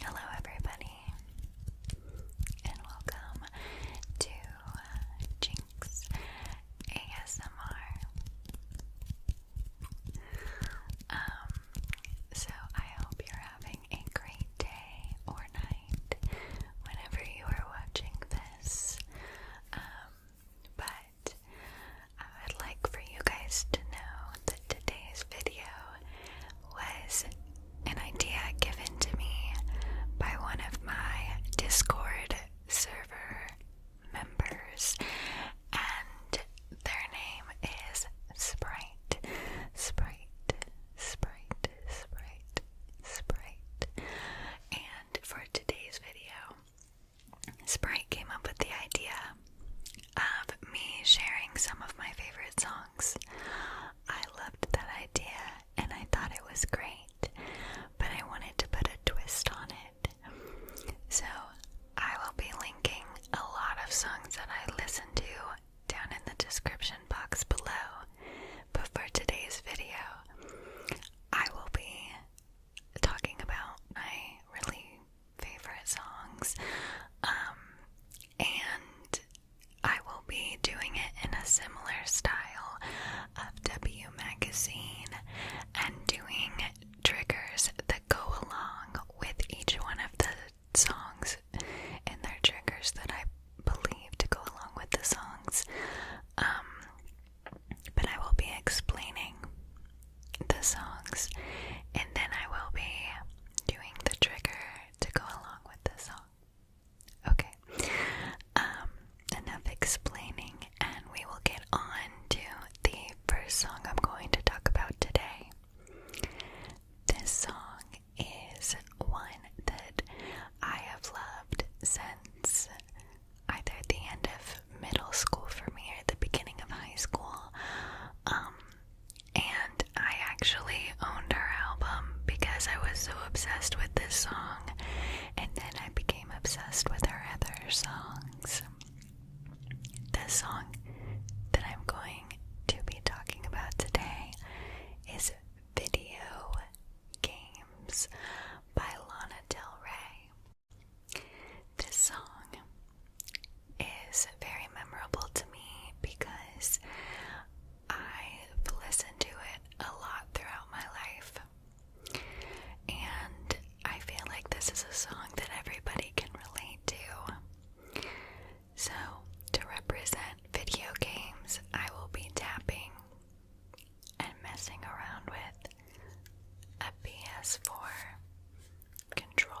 Hello, everybody, and welcome to Jinx ASMR. Um, so I hope you're having a great day or night whenever you are watching this. Um, but I would like for you guys to know that today's video was an idea given to me by one of my Discord server members, and their name is Sprite. Sprite, Sprite, Sprite, Sprite. And for today's video, Sprite came up with the idea of me sharing some of my favorite songs. I loved that idea and I thought it was great, but I wanted to put a twist on it. So I will be linking a lot of songs that I listen to down in the description box below. But for today's video, I will be talking about my really favorite songs. Um, and I will be doing it in a similar style of W Magazine and doing triggers that go along with each one of the songs and their triggers that I believe to go along with the songs. Um, but I will be explaining the songs and then I will be doing the trigger to go along with the song. Okay, um, enough explaining, and we will get on to the first song I'm going to talk about today. This song is one that I have loved since either the end of middle school for me or the beginning of high school. Um, and I actually owned her album because I was so obsessed with this song, and then I became obsessed with her other songs. The song that I'm going to be talking about today is Video Games by Lana Del Rey. This song is very memorable to me because I've listened to it a lot throughout my life. And I feel like this is a song that everybody can relate to. So, to represent video games, I will be tapping and messing around with a PS4 controller.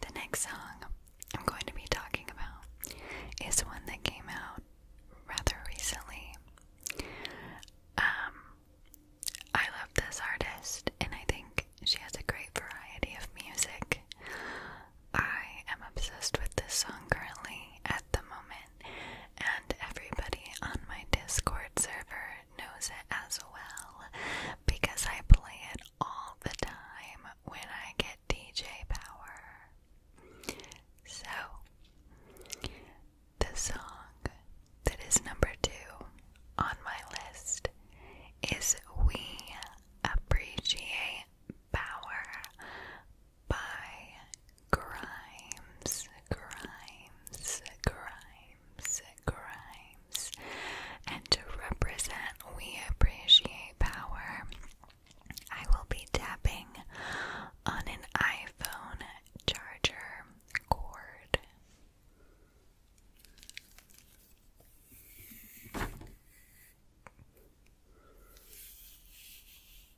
The next song I'm going to be talking about is one that came out rather recently. Um, I love this artist, and I think she has a great variety of music. I am obsessed with this song currently at the moment and everybody on my Discord server knows it as well because I play it all the time when I get DJ power. So, the song that is number two on my list is We Appreciate Power by Grimes, Grimes, Grimes, Grimes. And to represent We Appreciate Power, I will be tapping on an iPhone charger cord.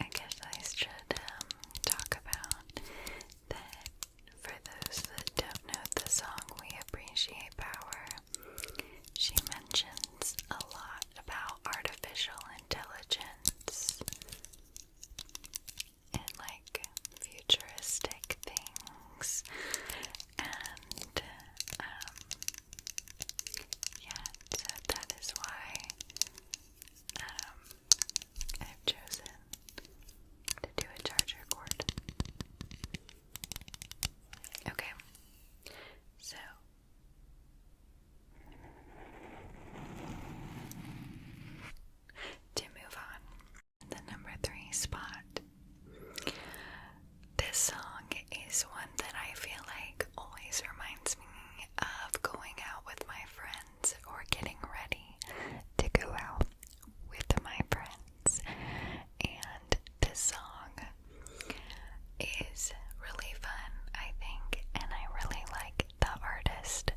I guess I should um, talk about that for those that don't know the song We Appreciate Power, she mentions a lot about artificial intelligence and like futuristic things and um, yeah so that is why um, I've chosen to do a charger cord. Okay. So to move on. The number three spot. This song is one that I feel like always reminds me of going out with my friends or getting ready to go out with my friends. And this song is really fun, I think, and I really like the artist.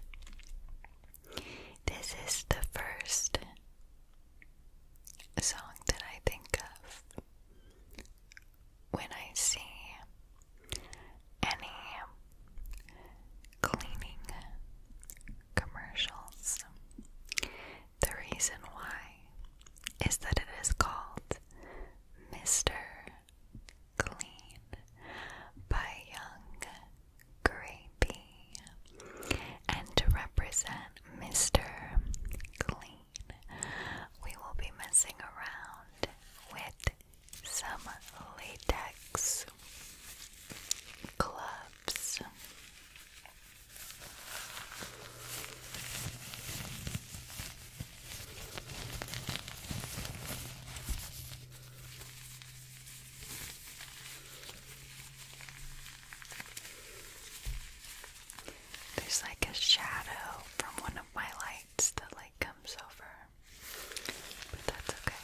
This is the first song that I think of when I see any cleaning commercials. The reason why is that it is called Mr. Clean by Young Grapey. And to represent Mr. Clean, we will be messing around with some latex gloves. There's like a shadow from one of my lights that light comes over. But that's okay.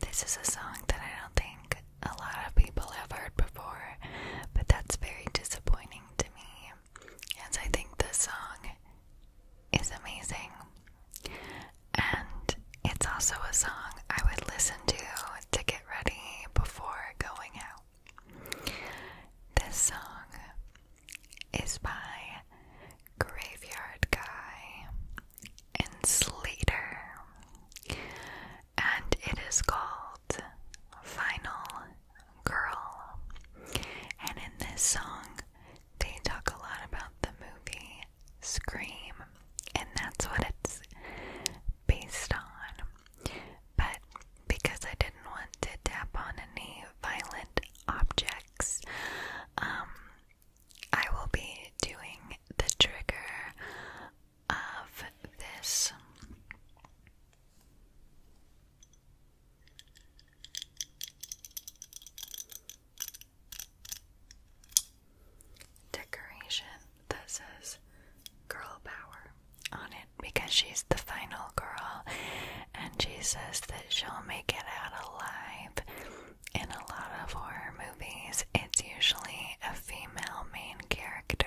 This is a song that I don't think a lot of people have heard before, but that's very disappointing to me, as I think this song is amazing. And it's also a song I would listen to to get ready before going out. This song is by Graveyard Guy, and Slater. And it is called Final Girl. And in this song, they talk a lot about the movie Scream, and that's what it's based on. But because I didn't want to tap on any violent objects, um, I will be doing the trigger of this. Decoration that says Girl Power on it because she's the final girl and she says that she'll make it out alive in a lot of horror movies, it's usually a female main character.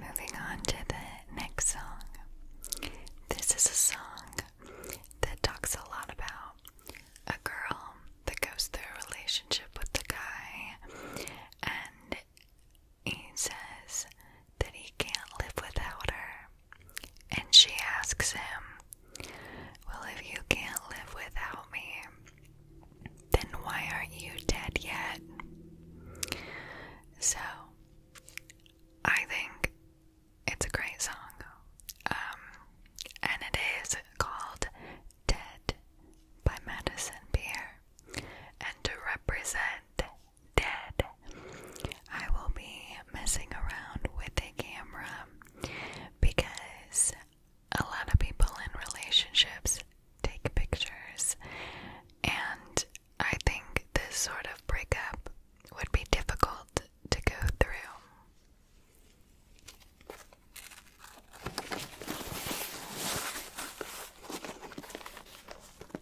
Moving on to the next song. This is a song that talks a lot about a girl that goes through a relationship with the guy, and he says that he can't live without her and she asks him, Well, if you can't live without me, then why aren't you dead yet? So, I think it's a great song. Um, and it is called Dead by Madison Beer. And to represent dead. I will be messing around with a camera because a lot of people in relationships take pictures, and I think this sort of breakup would be difficult to go through.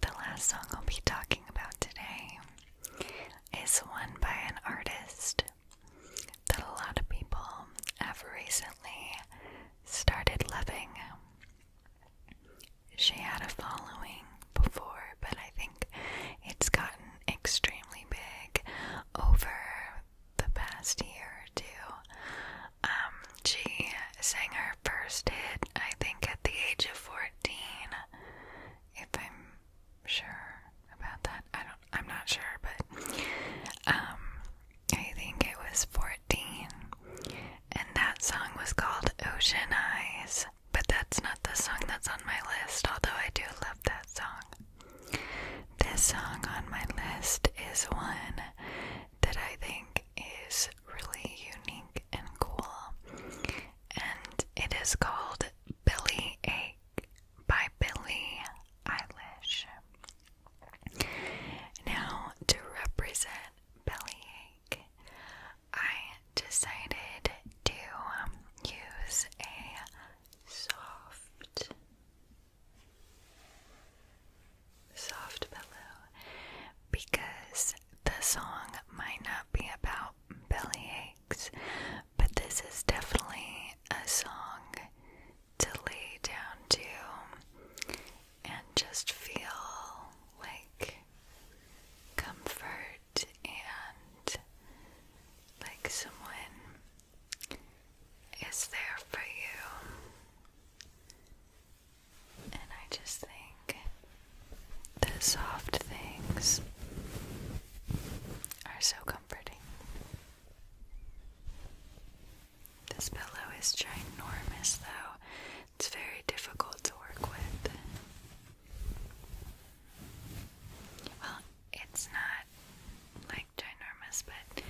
The last song I'll be talking about today is one by an artist that a lot of people have recently started loving. She had a following before, but I think it's gotten extremely big over the past year or two. Um, she sang her first hit, I think, at the age of 14. If I'm sure about that, I don't, I'm not sure, but, um, I think it was 14. And that song was called Ocean Eyes, but that's not the song that's on my list, although I do love that song. This song on my list is one that I think is really unique and cool, and it is called Billy Ache by Billie Eilish. Now, to represent Billy Ache, I decided to use a soft soft pillow because the song might not be about bellyaches, but this is definitely a song to lay down to and just feel like comfort and like someone is there for you. And I just think the soft things are so comforting. This pillow is ginormous, though, it's very difficult to work with. Well, it's not like ginormous, but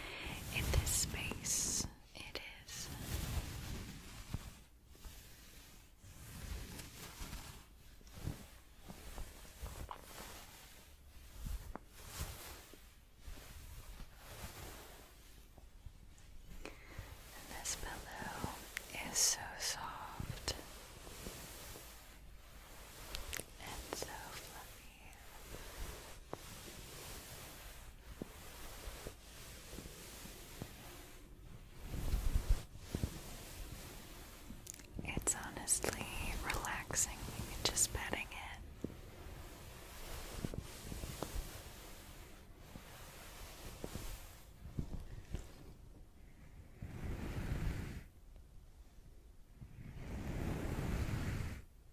in this space it is. this pillow is so soft and so fluffy. It's honestly relaxing, just petting it.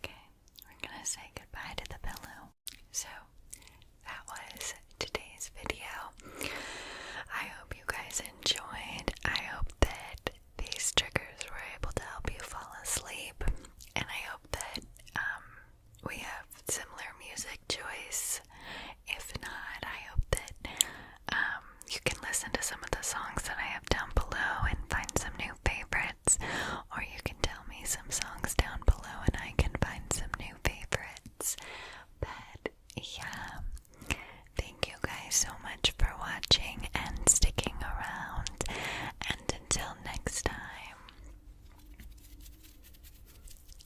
Okay, we're going to say goodbye to the pillow. So, that was today's video. I hope you guys enjoyed. I hope that these triggers were able to help you fall asleep, and I hope that um, we have similar music choice. If not, I hope that um, you can listen to some of the songs that I have down below and find some new favorites, or you can tell me some songs down below and I can find some new favorites. But yeah. Thank you guys so much for watching and sticking around. And until next time,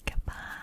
goodbye.